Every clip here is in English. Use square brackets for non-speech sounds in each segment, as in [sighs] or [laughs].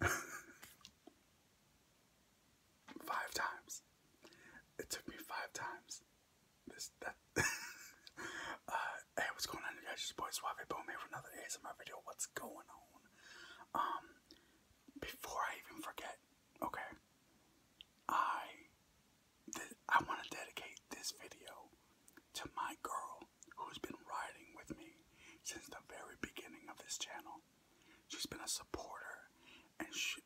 [laughs] five times. It took me five times. [laughs] Uh, hey what's going on guys? It's your boy Suave Bone here for another video. What's going on? Um, before I even forget, okay. I I want to dedicate this video to my girl who's been riding with me since the very beginning of this channel. She's been a supporter and she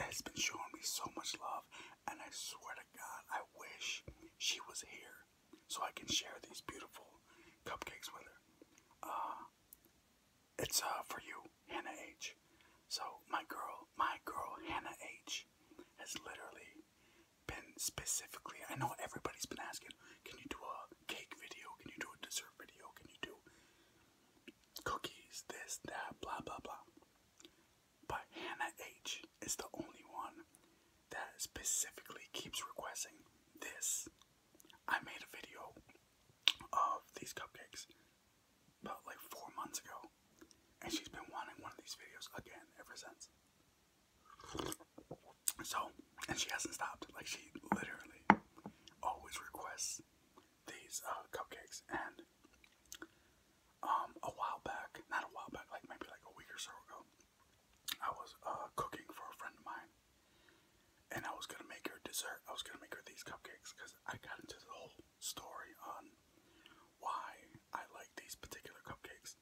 has been showing me so much love, and I swear to God, I wish she was here so I can share these beautiful cupcakes with her. Uh, it's uh, for you, Hannah H. So, my girl, my girl, Hannah H. has literally been specifically, I know everybody's been asking can you do a cake video? Can you do a dessert video? Can you do cookies? This, that, blah, blah, blah. But Hannah H is the only one that specifically keeps requesting this. I made a video of these cupcakes about like four months ago, and she's been wanting one of these videos again ever since. So, and she hasn't stopped. Like, she literally always requests these uh, cupcakes. And um, a while back, not a while back, like maybe like a week or so ago, I was uh, cooking for a friend of mine. And I was gonna make her dessert. I was gonna make her these cupcakes because I got into the whole story on why I like these particular cupcakes.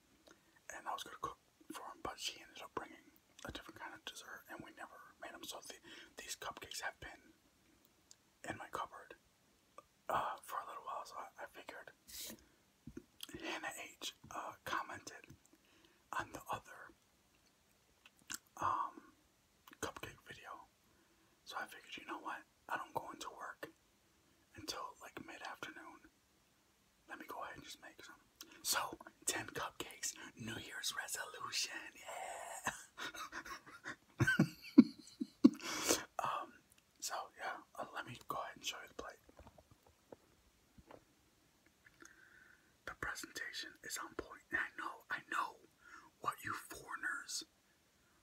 And I was gonna cook for him, but she ended up bringing a different kind of dessert, and we never made them. So the, these cupcakes have been in my cupboard uh, for a little while. So I, figured Hannah H uh, commented on the other um, cupcake video, so I figured, you know what? I don't go into work until like mid afternoon. Let me go ahead and just make some. So, 10 cupcakes, New Year's resolution, yeah. [laughs] um, so yeah, uh, let me go ahead and show the plate. The presentation is on point. I know, I know what you foreigners,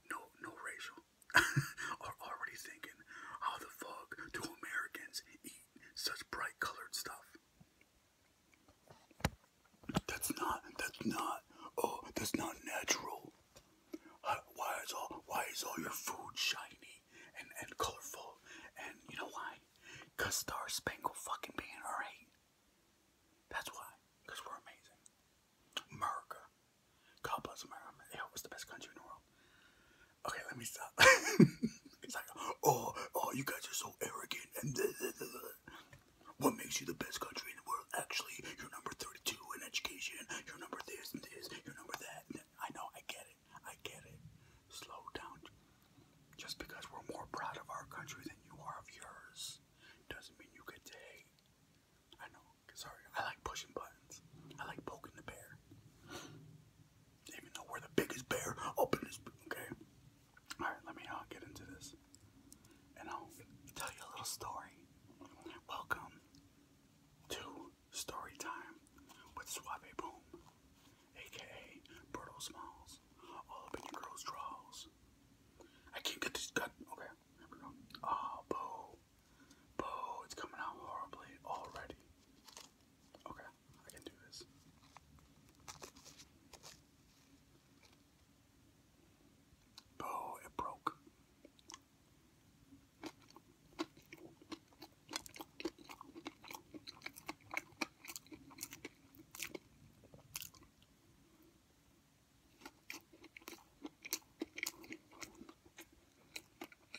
no, no racial, [laughs] are already thinking. How the fuck do Americans such bright colored stuff. That's not, that's not, oh, that's not natural. Why is all, why is all your food shiny and, and colorful? And you know why? Cause Star Spangled fucking being alright. That's why. Cause we're amazing. America. God bless America. It was the best country in the world. Okay, let me stop. [laughs] it's like, oh, oh, you guys are so arrogant. And blah, blah, what makes you the best country in the world? Actually, you're number 32 in education. You're number this and this. You're number that. I know, I get it. I get it. Slow down. Just because we're more proud of our country than you are of yours doesn't mean you get to hate. I know. Sorry, I like pushing buttons. I like poking the bear. Even though we're the biggest bear Okay. All right, let me uh, get into this, and I'll tell you a little story. Welcome to Story Time with Suave Boom, aka Berto Smalls, all your girls' draws. I can't get this done. Okay, here we go. Oh, Oh, it's coming out horribly already. Okay, I can do this. Bro, it broke.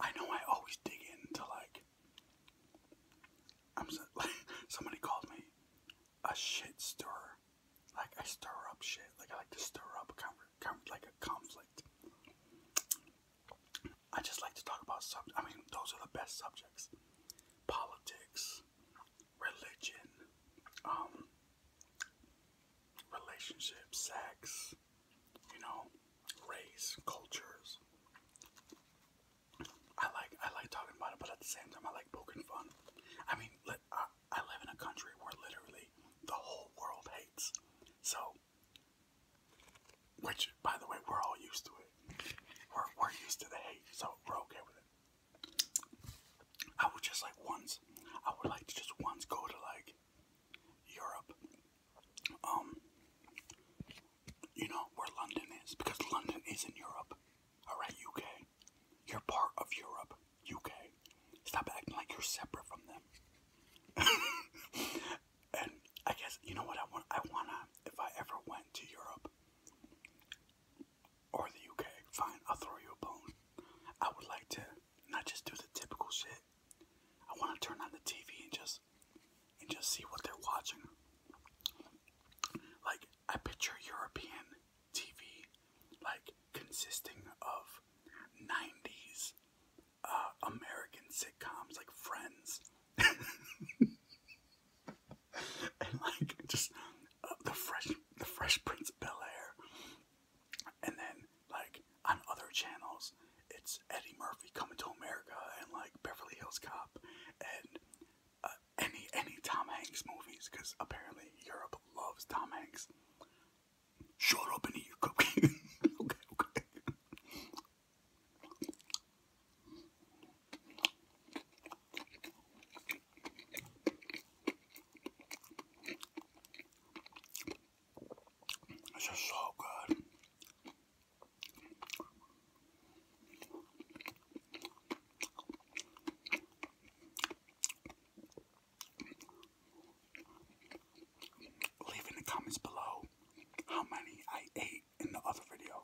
I know I always dig into like [laughs] somebody called me a shit stirrer like I stir up shit. Like I like to stir up like a conflict. I just like to talk about subjects. I mean, those are the best subjects: politics, religion, um, relationships, sex, you know, race, cultures. I like I like talking about it, but at the same time, I like poking fun. I mean, let, I live in a country where literally the whole world hates. So, which, by the way, we're all used to it. We're, we're used to the hate, so we're okay with it. I would just like once, I would like to just once go to like Europe, um, you know, where London is, because London is in Europe, alright, okay. You're part of Europe, UK. Stop acting like you're separate from them. [laughs] and I guess you know what I want. I wanna if I ever went to Europe or the UK, fine. I'll throw you a bone. I would like to not just do the typical shit. I want to turn on the TV and just and just see what they're watching. Like I picture European TV like consisting of 90s uh, American sitcoms like Friends. [laughs] and like just uh, the fresh the fresh prince of bel-air and then like on other channels it's eddie murphy coming to america and like beverly hills cop and uh, any any Tom Hanks movies because apparently Europe loves Tom Hanks. Shut up and eat your cookie. [laughs] okay, okay. so good. Leave in the comments below how many I ate in the other video.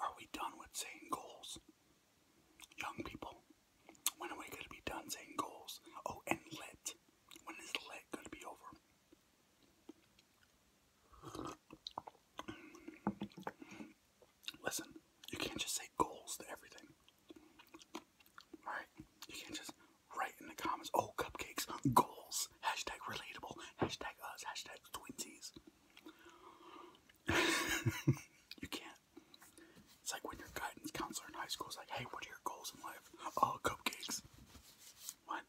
Are we done with saying goals? Young people, when are we going to be done saying goals? Oh, and lit. When is lit going to be over? Listen, you can't just say goals to everything. Alright? You can't just Write in the comments. Oh, cupcakes, goals. Hashtag relatable. Hashtag us. Hashtag twinsies. [laughs] you can't. It's like when your guidance counselor in high school is like, hey, what are your goals in life? All oh, cupcakes. What?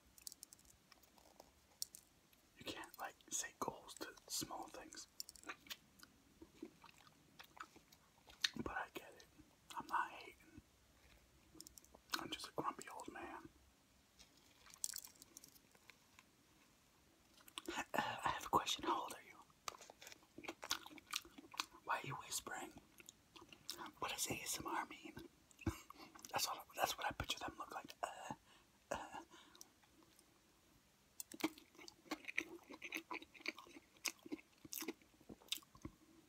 You can't, like, say goals to small things. But I get it. I'm not hating. I'm just a grumpy old man. Uh, I have a question. How are you? Why are you whispering? What does ASMR mean? [laughs] that's all. That's what I picture them look like. Uh, uh.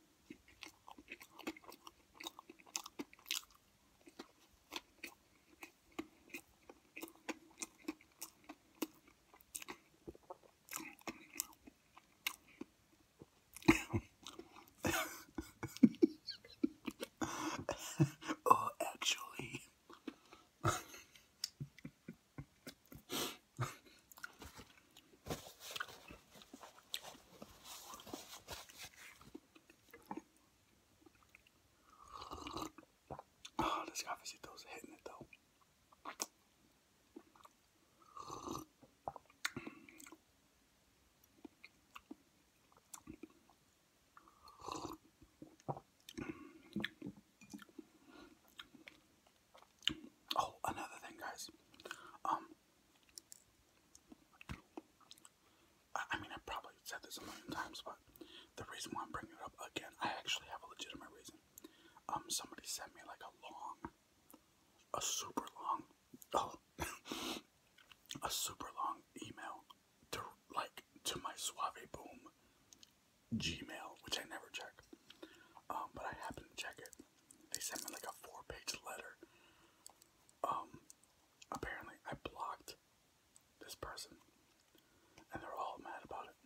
[laughs] oh, actually. [laughs] Oh, this cafecitos hitting it though. Oh, another thing, guys. Um, I mean, I probably said this a million times, but the reason why I'm bringing it up again, I actually have a legitimate reason. Um, somebody sent me like a long, a super long, oh, [laughs] a super long email to like to my Suave Boom Gmail, which I never check. Um, but I happened to check it they sent me like a four-page letter. Um, apparently I blocked this person, and they're all mad about it.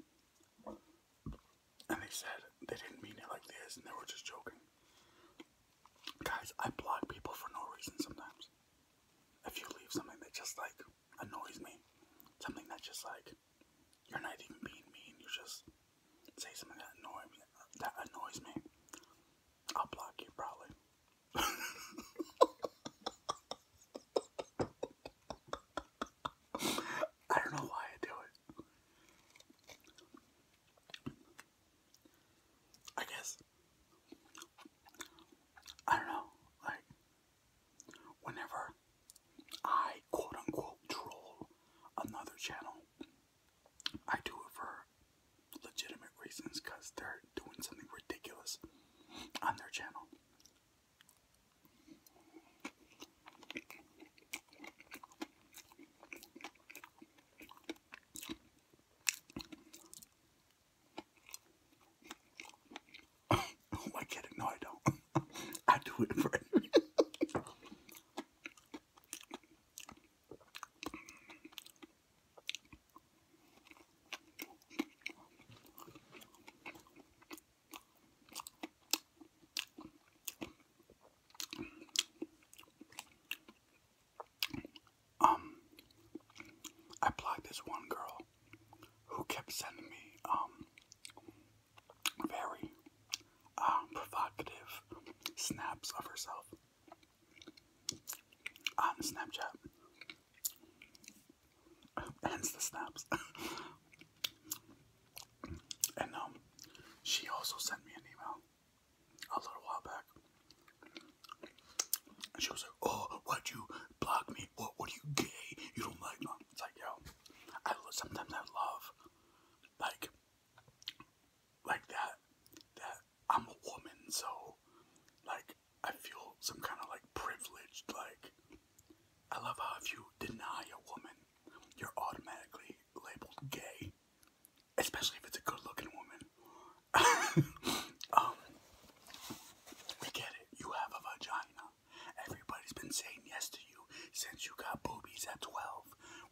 And they said they didn't mean it like this, and they were just joking. Guys, I block people for no reason sometimes. If you leave something that just like annoys me, something that just like you're not even being mean, you're just say something that annoys me. That annoys me. I'll block you probably. [laughs] I don't know why I do it. I guess I don't know. Like whenever I quote unquote troll another channel. I do it for legitimate reasons because they're doing something ridiculous on their channel. oh, I get No, I don't. [laughs] I do it for [laughs] [laughs] Um, I blocked this one girl who kept sending me um very um, provocative snaps of herself on Snapchat. [laughs] Hence the snaps. [laughs] and um, she also sent me an email a little while back. And she was like, "Oh, why'd you block me? What? What are you gay? You don't like me?" It's like, yo, I sometimes I love like like that that I'm a woman, so like I feel some kind of like privileged like I love how if you deny a woman, you're automatically labeled gay. Especially if it's a good looking woman. [laughs] Um, we get it, you have a vagina. Everybody's been saying yes to since you got boobies at 12.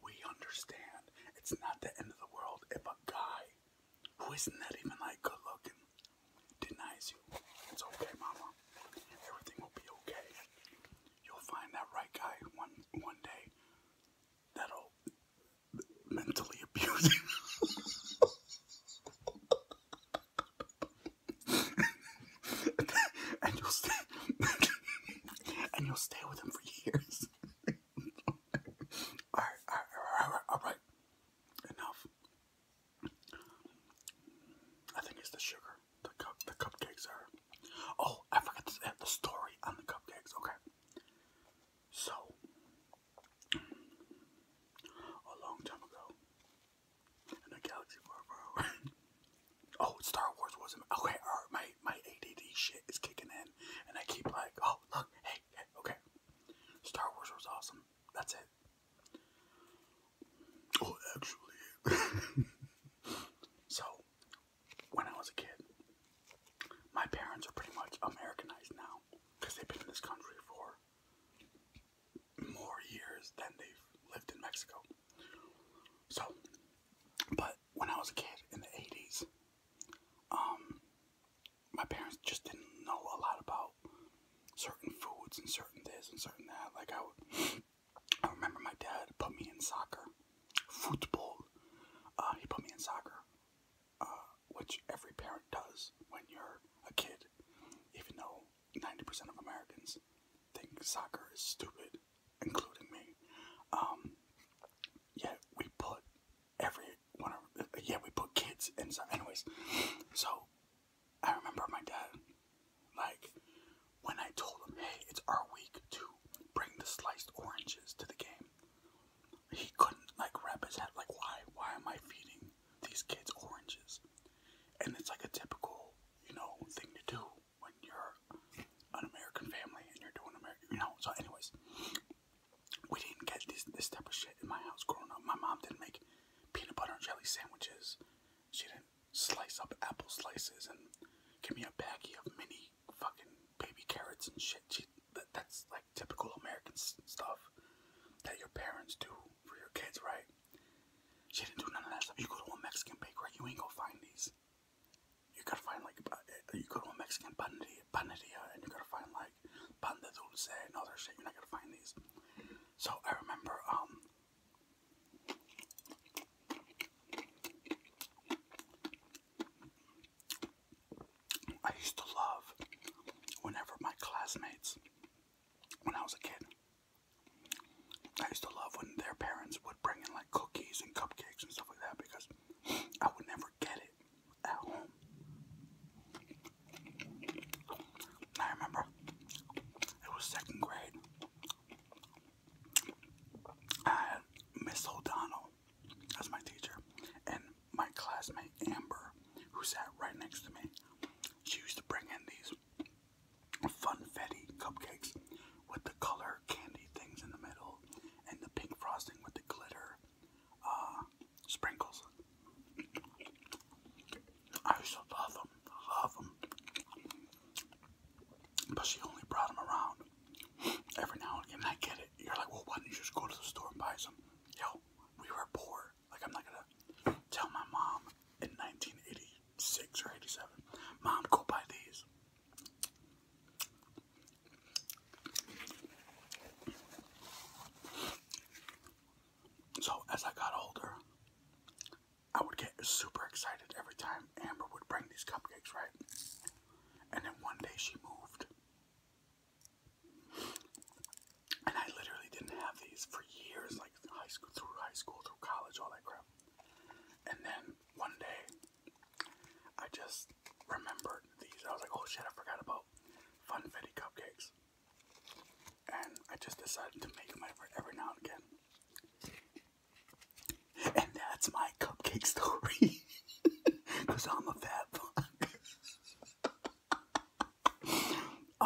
We understand. It's not the end of the world if a guy who isn't that even like good looking denies you. It's okay, mama. Everything will be okay. You'll find that right guy one one day that'll mentally abuse you. [laughs] [laughs] and you'll stay [laughs] and you'll stay with him for years. [laughs] all, right, all, right, all right, enough. I think it's the sugar. The cup, the cupcakes are. Oh, I forgot to add the story on the cupcakes. Okay, so a long time ago, [laughs] oh, Star Wars was okay. my my ADD shit is kicking in, and I keep like, oh look, hey, okay. Star Wars was awesome. That's it. Oh, actually. [laughs] so, when I was a kid, my parents are pretty much Americanized now because they've been in this country for more years than they've lived in Mexico. So, but when I was a kid in the 80s, um, my parents just didn't know a lot about certain foods and certain this and certain that. Like, I, would, I remember my dad put me in soccer, football. Uh, he put me in soccer, uh, which every parent does when you're a kid, even though 90% of Americans think soccer is stupid, including me. Um, yeah, we put every one of, yeah, we put kids in stuff. Anyways, so I remember my dad, like, when I told him, hey, it's our week to bring the sliced oranges to the game, he couldn't, like, wrap his head, like, why, why am I feeding these kids oranges? And it's like a typical you know, thing to do when you're an American family and you're doing American, you know. So, anyways, we didn't get this this type of shit in my house growing up. My mom didn't make peanut butter and jelly sandwiches. She didn't slice up apple slices and give me a baggie of mini fucking baby carrots and shit. She, that, that's like typical American stuff that your parents do for your kids, right? She didn't do none of that stuff. You go to a Mexican bakery, you ain't gonna find these. You gotta find like, eh, you go to a Mexican panaderia, panaderia and you gotta find like pan dulce and other shit. You're not gonna find these. So I remember, um, I used to love whenever my classmates, when I was a kid, I used to love when their parents would bring in like cookies and cupcakes and stuff like that because I would never get it at home. I remember it was second grade. I had Miss O'Donnell as my teacher, and my classmate Amber, who sat right next to me, she used to bring in these funfetti cupcakes with the color candy things in the middle and the pink frosting with the glitter uh, sprinkles. I used love them, love them. But she only brought them around every now and again. I get it. You're like, well, why didn't you just go to the store and buy some? Yo, we were poor. Like, I'm not gonna tell my mom in 1986 or 87, Mom, go buy these. So, as I got older, I would get super excited every time Amber would bring these cupcakes, right? And then one day she moved. And I literally didn't have these for years, like high school through high school, through college, all that crap. And then one day I just remembered these. I was like, oh shit, I forgot about Funfetti cupcakes. And I just decided to make them every, every now and again. And that's my cupcake story. Because [laughs] I'm a fat fuck.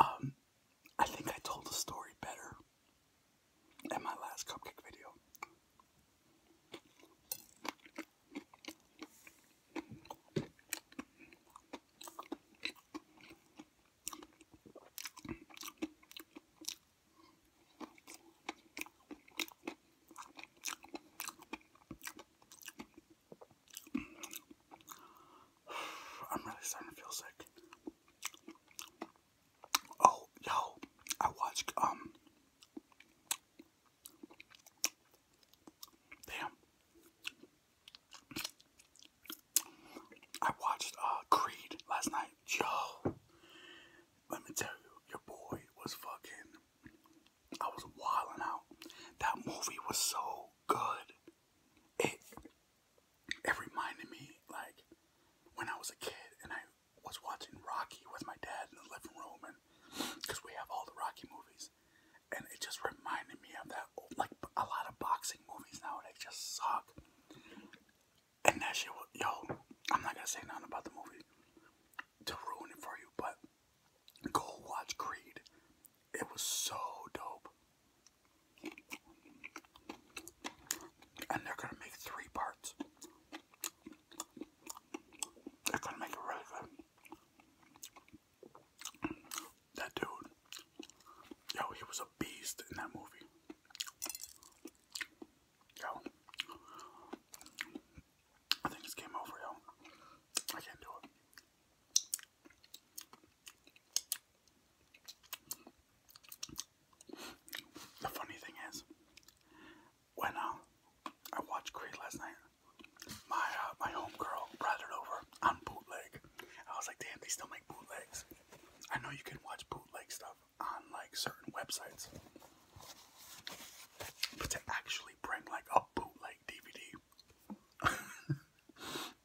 [laughs] um, I think I told the story better in my last cupcake video. [sighs] I'm really starting to feel sick. Oh, yo, I watched, um, damn. I watched, uh, Creed last night. Yo, let me tell you, your boy was fucking, I was wilding out. That movie was so good. It it reminded me like when I was a kid and I was watching Rocky with my dad in the living room, and because we have all the Rocky movies, and it just reminded me of that. Old, like a lot of boxing movies nowadays just suck, and that shit. yo, I'm not gonna say nothing about the movie to ruin it for you, but go watch Creed. It was so dope. And they're going to make three parts. They're going to make it That dude, yo, he was a beast in that movie. Yo. I think it's game over, yo. I can't do it. The funny thing is, when uh, I watched Creed last night, my uh, my homegirl brought it over on bootleg. I was like, damn, they still make bootlegs. I know you can watch bootleg stuff on like certain websites, but to actually bring like a bootleg DVD [laughs]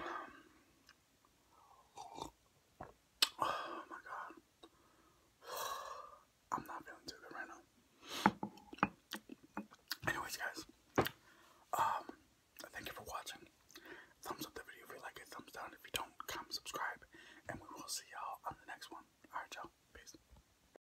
Oh my god. [sighs] I'm not feeling too good right now. Anyways guys, um thank you for watching. Thumbs up the video if you like it, thumbs down if you don't, comment, subscribe, and we will see y'all on the next one. Alright y'all, peace.